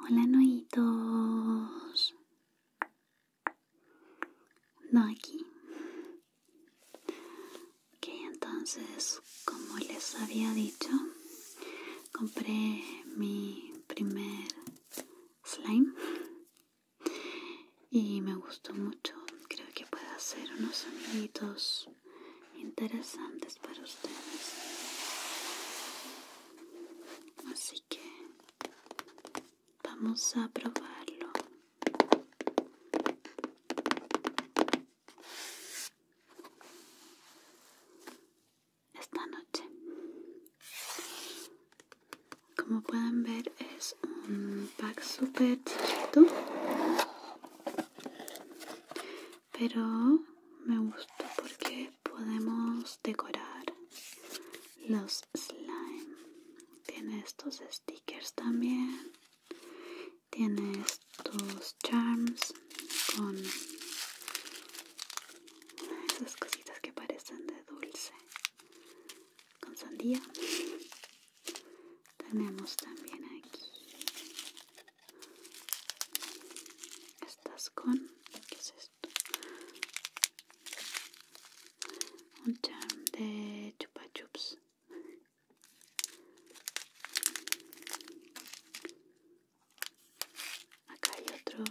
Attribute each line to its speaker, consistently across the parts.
Speaker 1: Hola, noitos. No aquí. Ok, entonces, como les había dicho, compré mi primer slime y me gustó mucho. Creo que puede hacer unos amiguitos interesantes para ustedes. Así que vamos a probarlo. Esta noche. Como pueden ver es un pack súper chiquito pero me gustó porque podemos decorar los slime tiene estos stickers también tiene estos charms con esas cositas que parecen de dulce con sandía tenemos también aquí Estás con... ¿Qué es esto? Un charm de chupa chups. Acá hay otro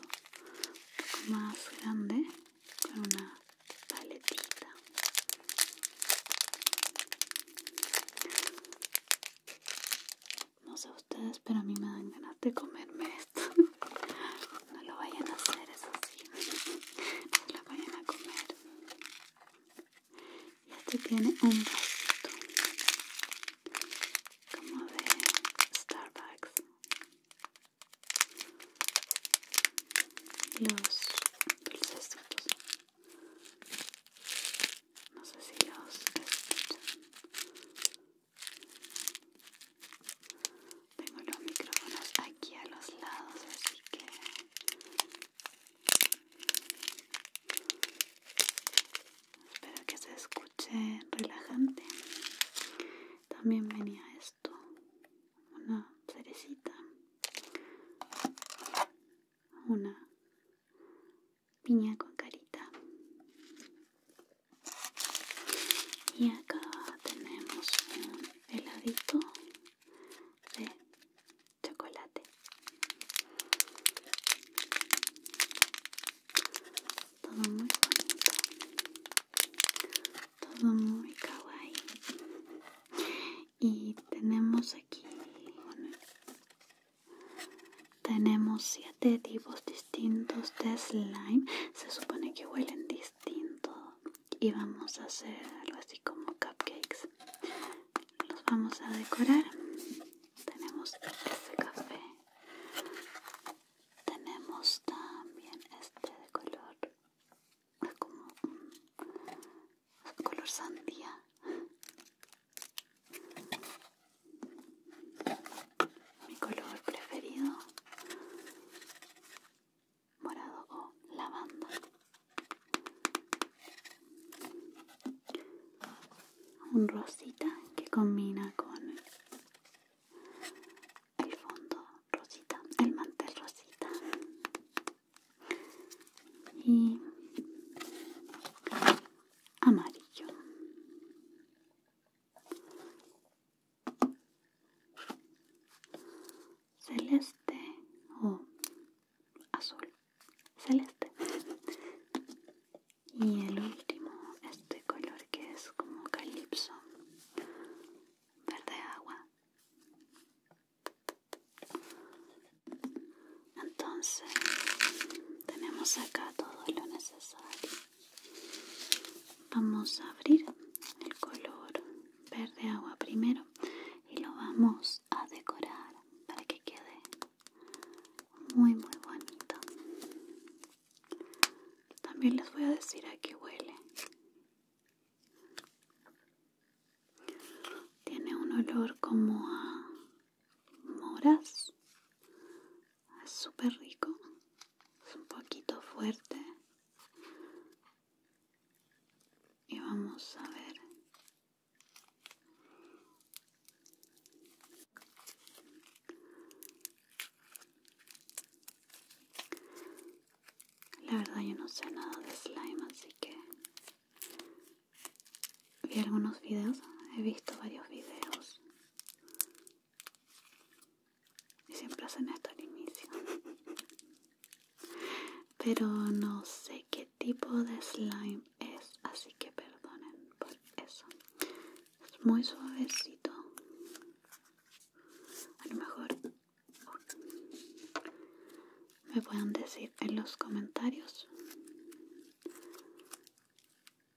Speaker 1: poco más grande con una paletita. No sé ustedes, pero a mí me dan ganas de comerme esto. No lo vayan a hacer, es así. No lo vayan a comer. Y este tiene un vasito. Como de Starbucks. Los dulcesitos no sé si los escuchan tengo los micrófonos aquí a los lados así que espero que se escuche relajante también venía esto una cerecita una piña con carita. Y acá tenemos un heladito de chocolate. Todo muy bonito. Todo muy kawaii. Y tenemos aquí tenemos siete tipos distintos de slime. Se supone que huelen distinto. Y vamos a hacer algo así como cupcakes. Los vamos a decorar. Tenemos este café. Tenemos también este de color. como color sandía. Mi color preferido, morado o lavanda. Un rosita que combina con el fondo rosita, el mantel rosita. Y amarillo. Celeste o azul. Celeste. Y el último, este color que es como calipso. Verde agua entonces tenemos acá todo lo necesario vamos a abrir el color verde agua primero y lo vamos a decorar para que quede muy muy bonito también les voy a decir a qué huele tiene un olor como a moras es súper rico, es un poquito fuerte y vamos a ver la verdad yo no sé nada de slime así que vi algunos videos, he visto varios videos y siempre hacen esto al inicio pero no sé qué tipo de slime es así que perdonen por eso es muy suavecito a lo mejor oh, me pueden decir en los comentarios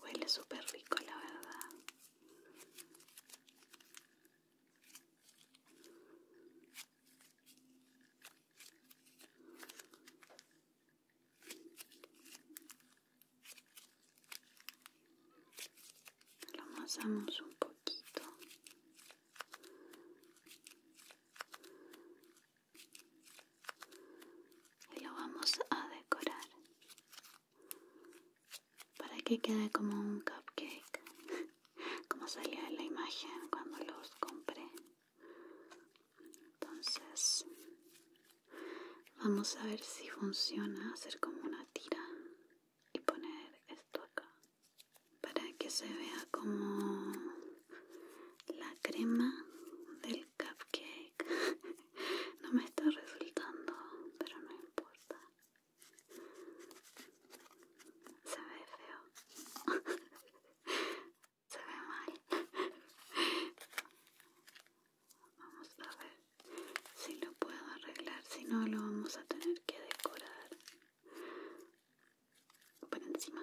Speaker 1: Huele súper rico, la verdad lo amasamos un poquito y lo vamos a decorar para que quede como un cupcake como salía en la imagen cuando los compré entonces vamos a ver si funciona hacer como una tira y poner esto acá para que se vea como la crema del cupcake. no me está resultando, pero no importa. Se ve feo. se ve mal. Vamos a ver si lo puedo arreglar, si no lo vamos a tener que decorar por encima.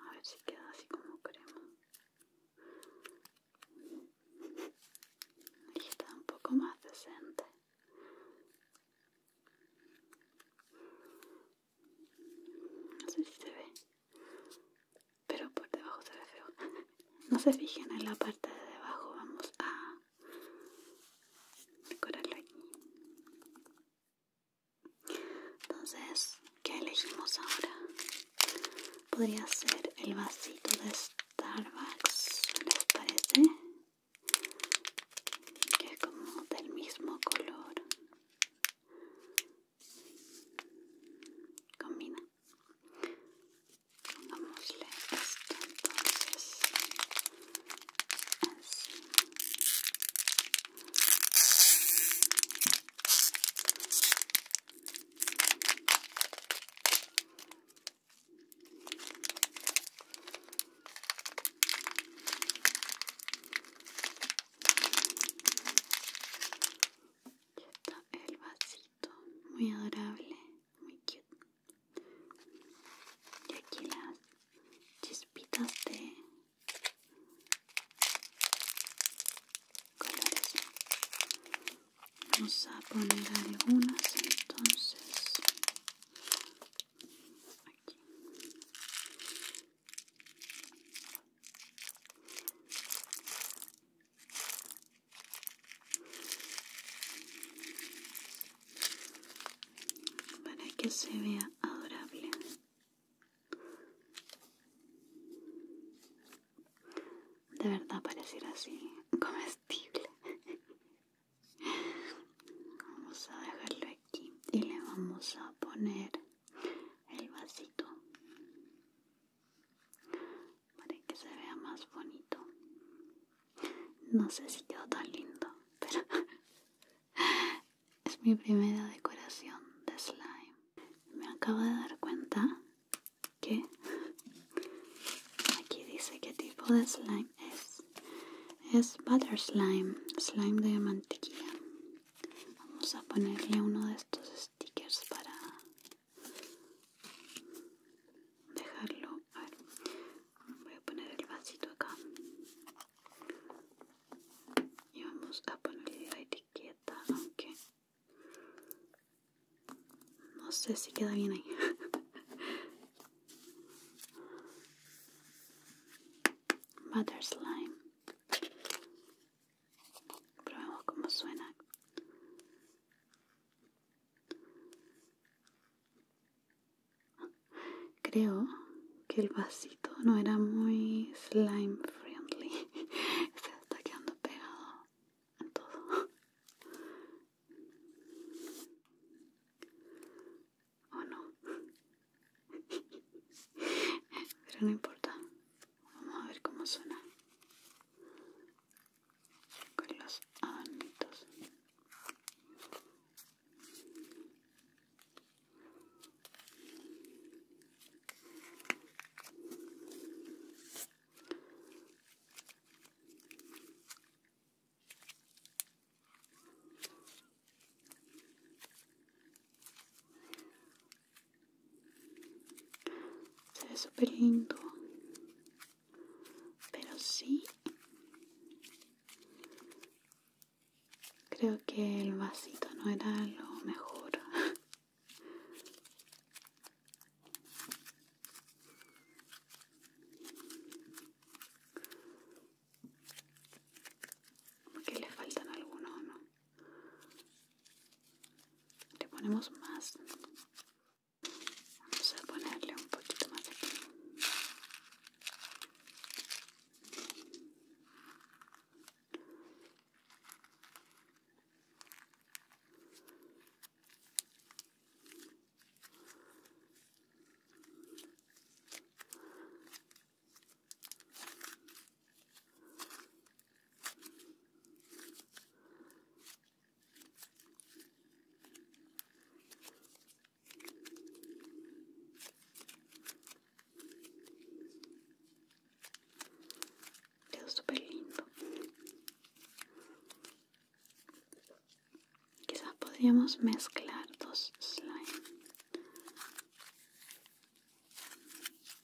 Speaker 1: A ver si queda así como queremos. está un poco más decente. No sé si se ve. Pero por debajo se ve feo. No se fijen en la parte de debajo. Vamos a decorarlo aquí. Entonces, ¿qué elegimos ahora? Podría ser el vasito de Starbucks, ¿les parece? Que es como del mismo color combina pongámosle esto entonces así ya está el vasito, muy adorable, muy cute. Y aquí las chispitas de colores. Vamos a poner algunas entonces. Aquí para que se vea adorable. De verdad pareciera así, comestible. Vamos a dejarlo aquí y le vamos a poner el vasito para que se vea más bonito no sé si quedó tan lindo pero es mi primera decoración de slime me acabo de dar cuenta que aquí dice qué tipo de slime es es butter slime slime de mantequilla Vamos a ponerle uno de estos stickers para dejarlo. A ver, voy a poner el vasito acá. Y vamos a ponerle la etiqueta, aunque no sé si queda bien ahí. Butter slime. Probemos cómo suena. Creo que el vasito no era muy slime friendly. Se está quedando pegado en todo. ¿O no? Pero no importa. Vamos a ver cómo suena. Con los anitos se ve súper lindo. Pero sí. Creo que el vasito no era lo mejor. Porque le faltan algunos, ¿no? le ponemos más vamos a ponerle un poquito más aquí Quedó súper lindo. Quizás podríamos mezclar dos slime.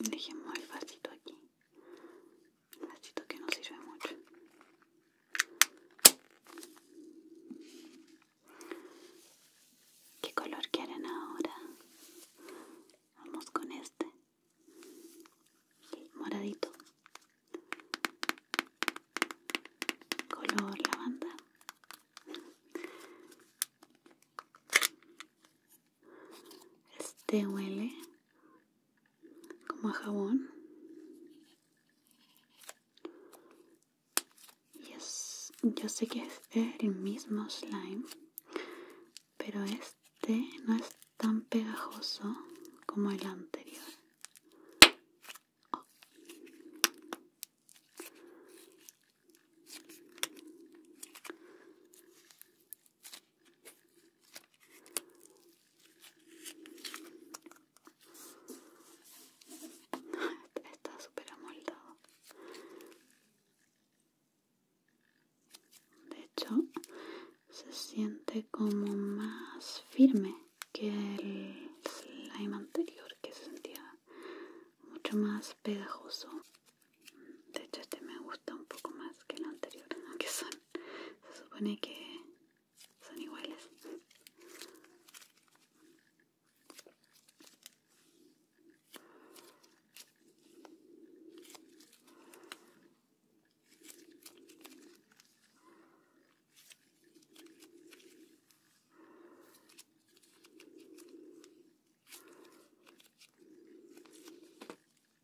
Speaker 1: Dejemos el vasito aquí. Vasito que no sirve mucho. ¿Qué color quieren ahora? Vamos con este. moradito. Color lavanda. Este huele como a jabón. Y es, yo sé que es el mismo slime, pero este no es tan pegajoso como el anterior. Está súper amoldado. De hecho, se siente como más firme que el slime anterior que se sentía mucho más pegajoso. De hecho este me gusta un poco más que el anterior, aunque son, se supone que son iguales.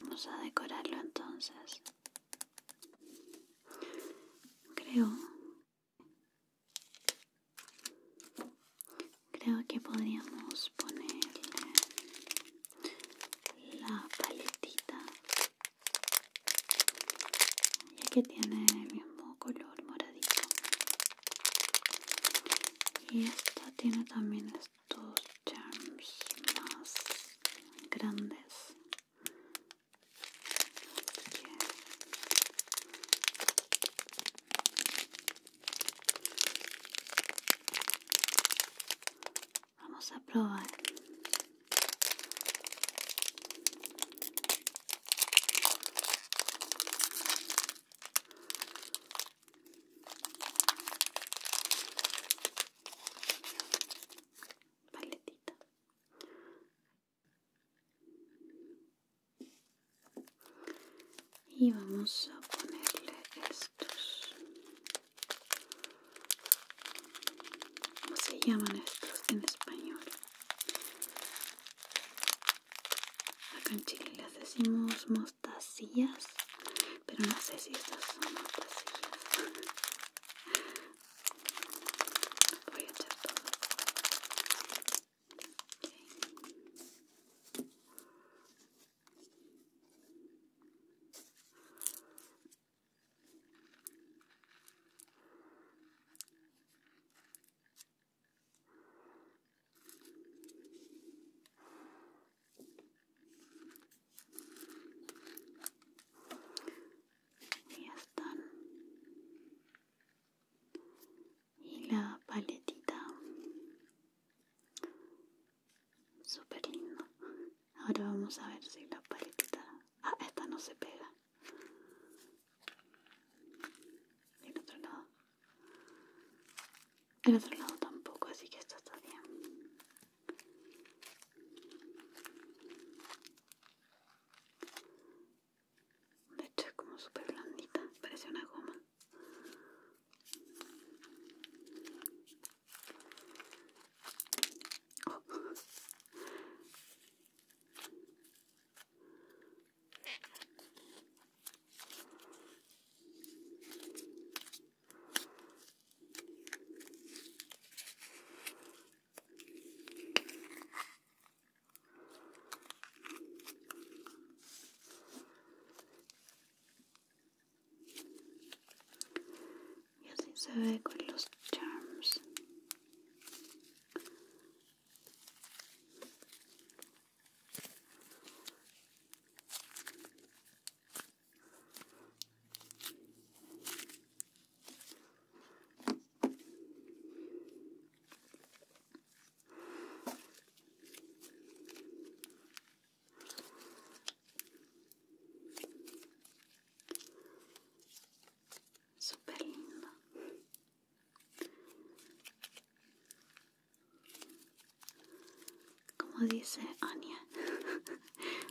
Speaker 1: Vamos a decorarlo entonces. Creo. Creo que podríamos ponerle la paletita. Ya que tiene el mismo color moradito. Y esta tiene también estos charms más grandes Vamos a probar paletita y vamos a ponerle estos ¿cómo se llaman estos en español? acá en Chile les decimos mostacillas pero no sé si estas son vacías. Voy a echar todo ya están y la paletita súper lindo ahora vamos a ver si la paletita ah esta no se pega el otro lado El otro lado tampoco así que esto está bien de hecho como super blandita, parece una goma. Y así se ve con los charms. Super lindo. Como dice Anya,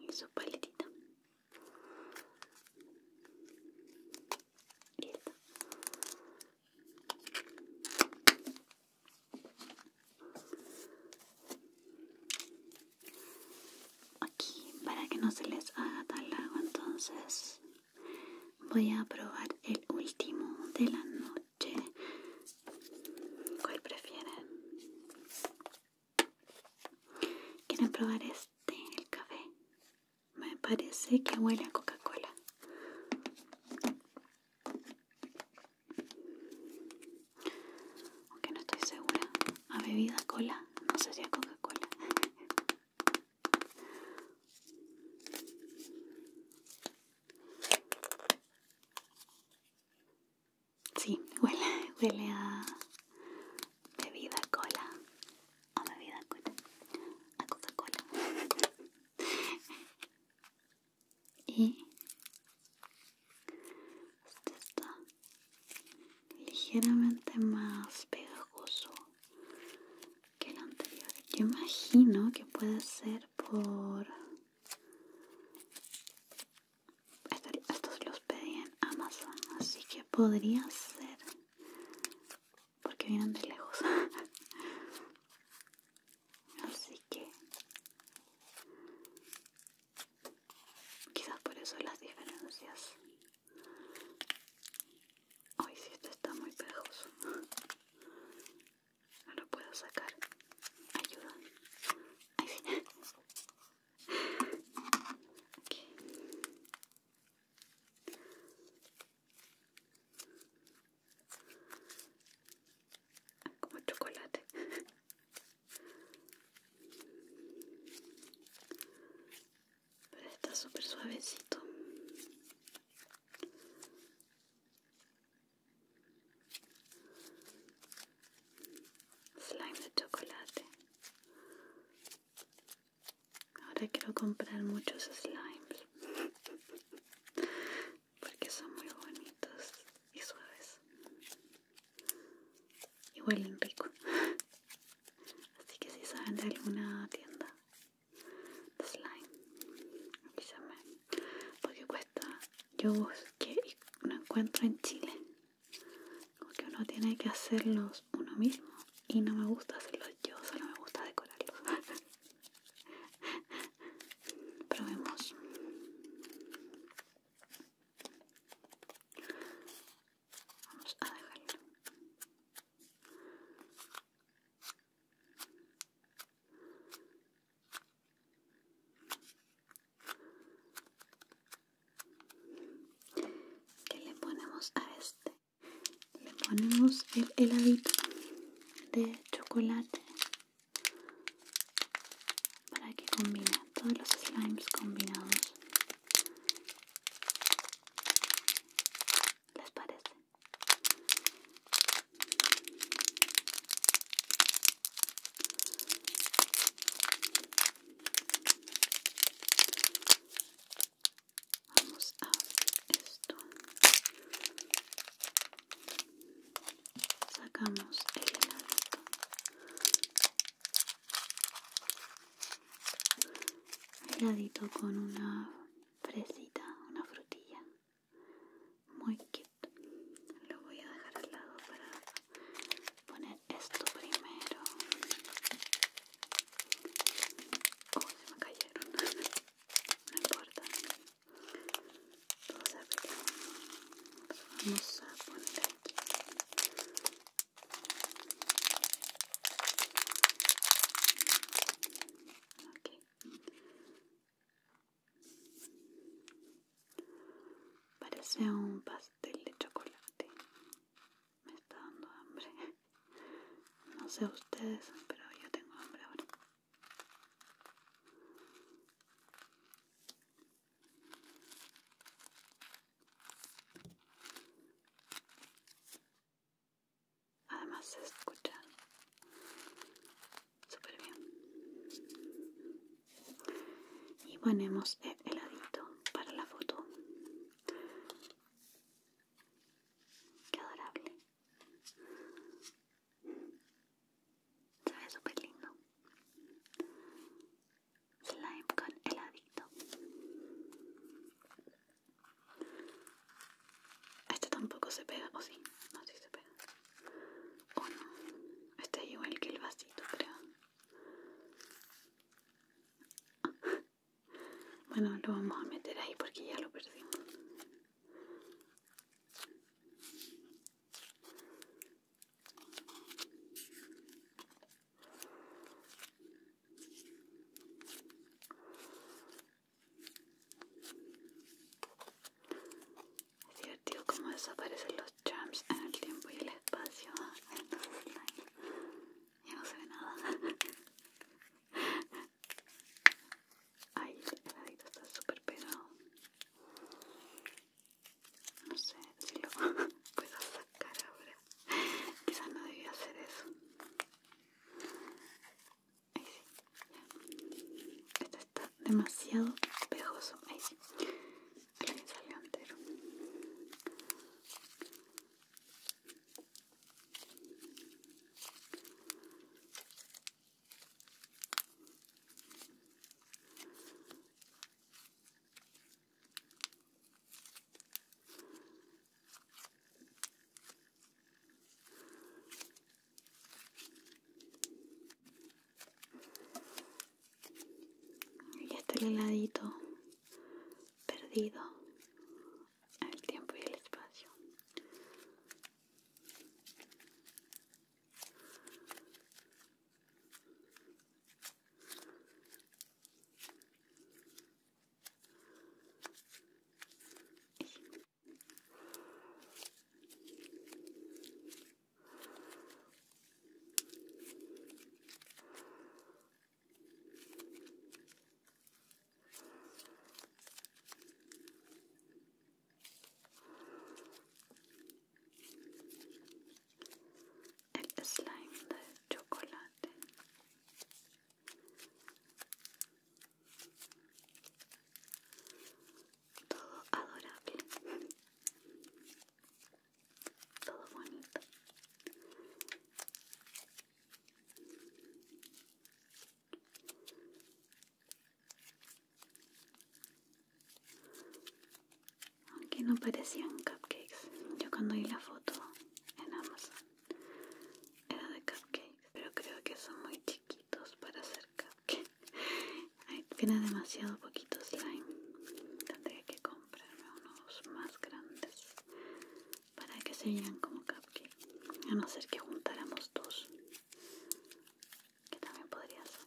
Speaker 1: y su paletita listo aquí para que no se les haga tan largo entonces voy a probar el último de la noche ¿Cuál prefieren? ¿Quieren probar este, el café? Me parece que huele a Coca-Cola. Aunque no estoy segura. ¿A bebida cola? No sé si Coca-Cola. Sí, huele, huele a bebida cola. A bebida cola. A Coca-Cola. y este está ligeramente más pegajoso que el anterior. Yo imagino que puede ser por estos los pedí en Amazon, así que podría ser porque vienen de lejos. así que quizás por eso las diferencias. Hoy si este está muy pegajoso. No lo puedo sacar. Ayuda. Como chocolate. está súper suavecito slime de chocolate. Ahora quiero comprar muchos slimes porque son muy bonitos y suaves y huelen rico. Así que si saben de alguna tienda de slime, me porque yo busqué no encuentro en Chile. Como que uno tiene que hacerlos uno mismo y no me gusta hacerlos yo, solo me gusta decorarlos. Probemos. Vamos a dejarlo. ¿Qué le ponemos a este? Le ponemos el heladito de chocolate para que combine todos los slimes combinados. ¿Les parece? Vamos a esto. Sacamos el heladito. Heladito con una fresita, una frutilla. Muy lo voy a dejar al lado para poner esto primero oh se me cayeron no importa vamos a poner aquí ok Parece un pastel de chocolate. Me está dando hambre. No sé ustedes, pero yo tengo hambre ahora. Además se escucha súper bien y ponemos el heladito para la foto qué adorable se ve súper lindo slime con heladito este tampoco se pega, o sí, no sí se pega o no este igual que el vasito creo bueno lo vamos a meter ahí porque ya lo perdimos es divertido cómo desaparecen los charms en el tiempo y el espacio. y no se ve nada. Ahí el ladito está súper pegado. No sé si lo a sacar ahora. Quizás no debía hacer eso. Ahí sí. está demasiado pegoso. Ahí sí. Ahí salió entero. Y está el heladito perdido, el tiempo y el espacio el slime de chocolate todo adorable, todo bonito. Aunque no parecían cupcakes, yo cuando vi la foto en Amazon era de cupcakes, pero creo que son muy chiquitos para hacer cupcakes tiene demasiado poquito slime. tendría que comprarme unos más grandes para que se vean como cupcake. A no ser que juntáramos dos. Que también podría ser.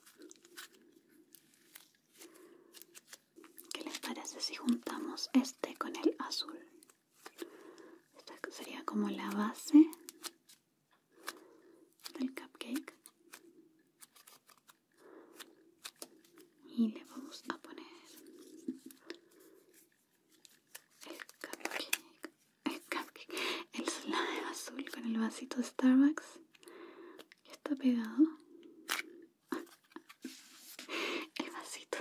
Speaker 1: ¿Qué les parece si juntamos este con el azul? Esta sería como la base el cupcake y le vamos a poner el cupcake, el cupcake, el slime azul con el vasito de Starbucks que está pegado. El vasito,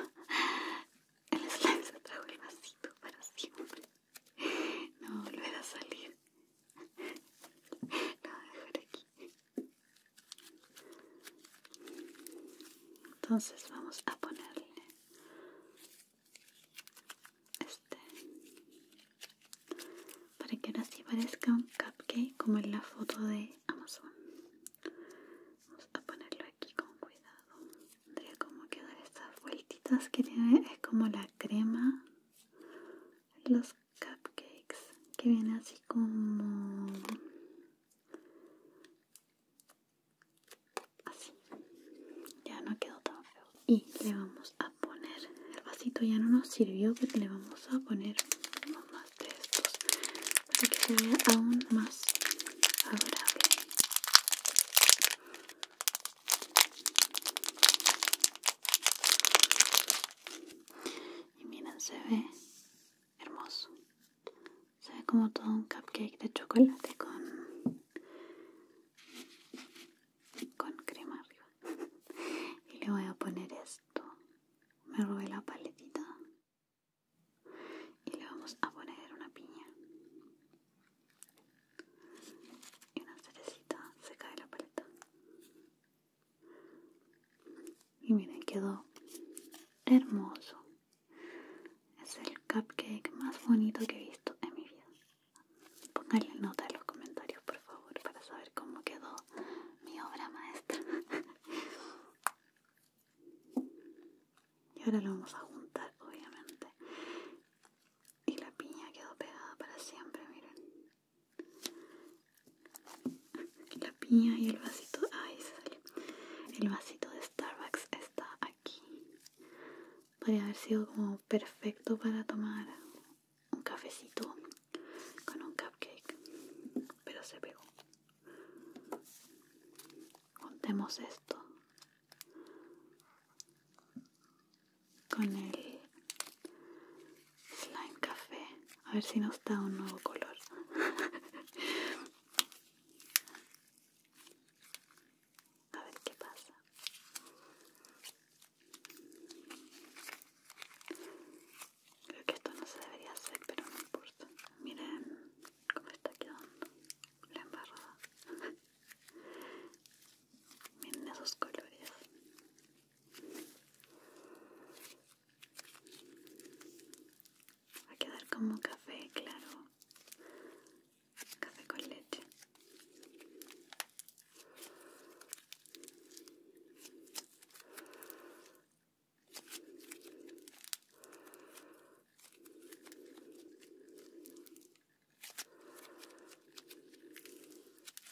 Speaker 1: el slime se trajo el vasito para siempre. No volver a salir dejar aquí. Entonces vamos a ponerle este para que ahora sí parezca un cupcake como en la foto de Amazon. Vamos a ponerlo aquí con cuidado. Tendría como quedan estas vueltitas que tiene, es como la crema. Los cupcakes que viene así como así ya no quedó tan feo y le vamos a poner el vasito ya no nos sirvió pero le vamos a poner más de estos para que se vea aún más adorable. Y miren, se ve hermoso. Se ve como todo un cupcake de chocolate con, con crema arriba. y le voy a poner esto. Me robé la paletita. Y le vamos a poner una piña. Y una cerecita. Se cae la paleta. Y miren, quedó hermoso. Es el cupcake más bonito que he visto en mi vida. Pónganle nota en los comentarios, por favor, para saber cómo quedó mi obra maestra. y ahora lo vamos a juntar, obviamente. Y la piña quedó pegada para siempre, miren. La piña y el vasito, Ay, sale. El vasito de Starbucks está aquí. Podría haber sido como perfecto para tomar un cafecito con un cupcake, pero se pegó. Contemos esto con el slime café a ver si nos da un nuevo color a ver qué pasa creo que esto no se debería hacer pero no importa miren cómo está quedando la embarrada miren esos colores Va a quedar como café, claro. Café con leche.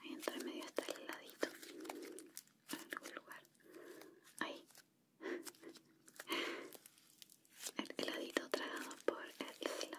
Speaker 1: Ahí entre medio está el heladito. En algún lugar. Ahí. El heladito tragado por el slime.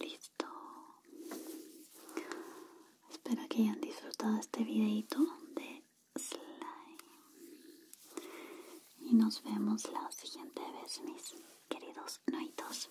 Speaker 1: Listo. Espero que hayan disfrutado este videito de slime. Y nos vemos la siguiente vez, mis queridos noitos.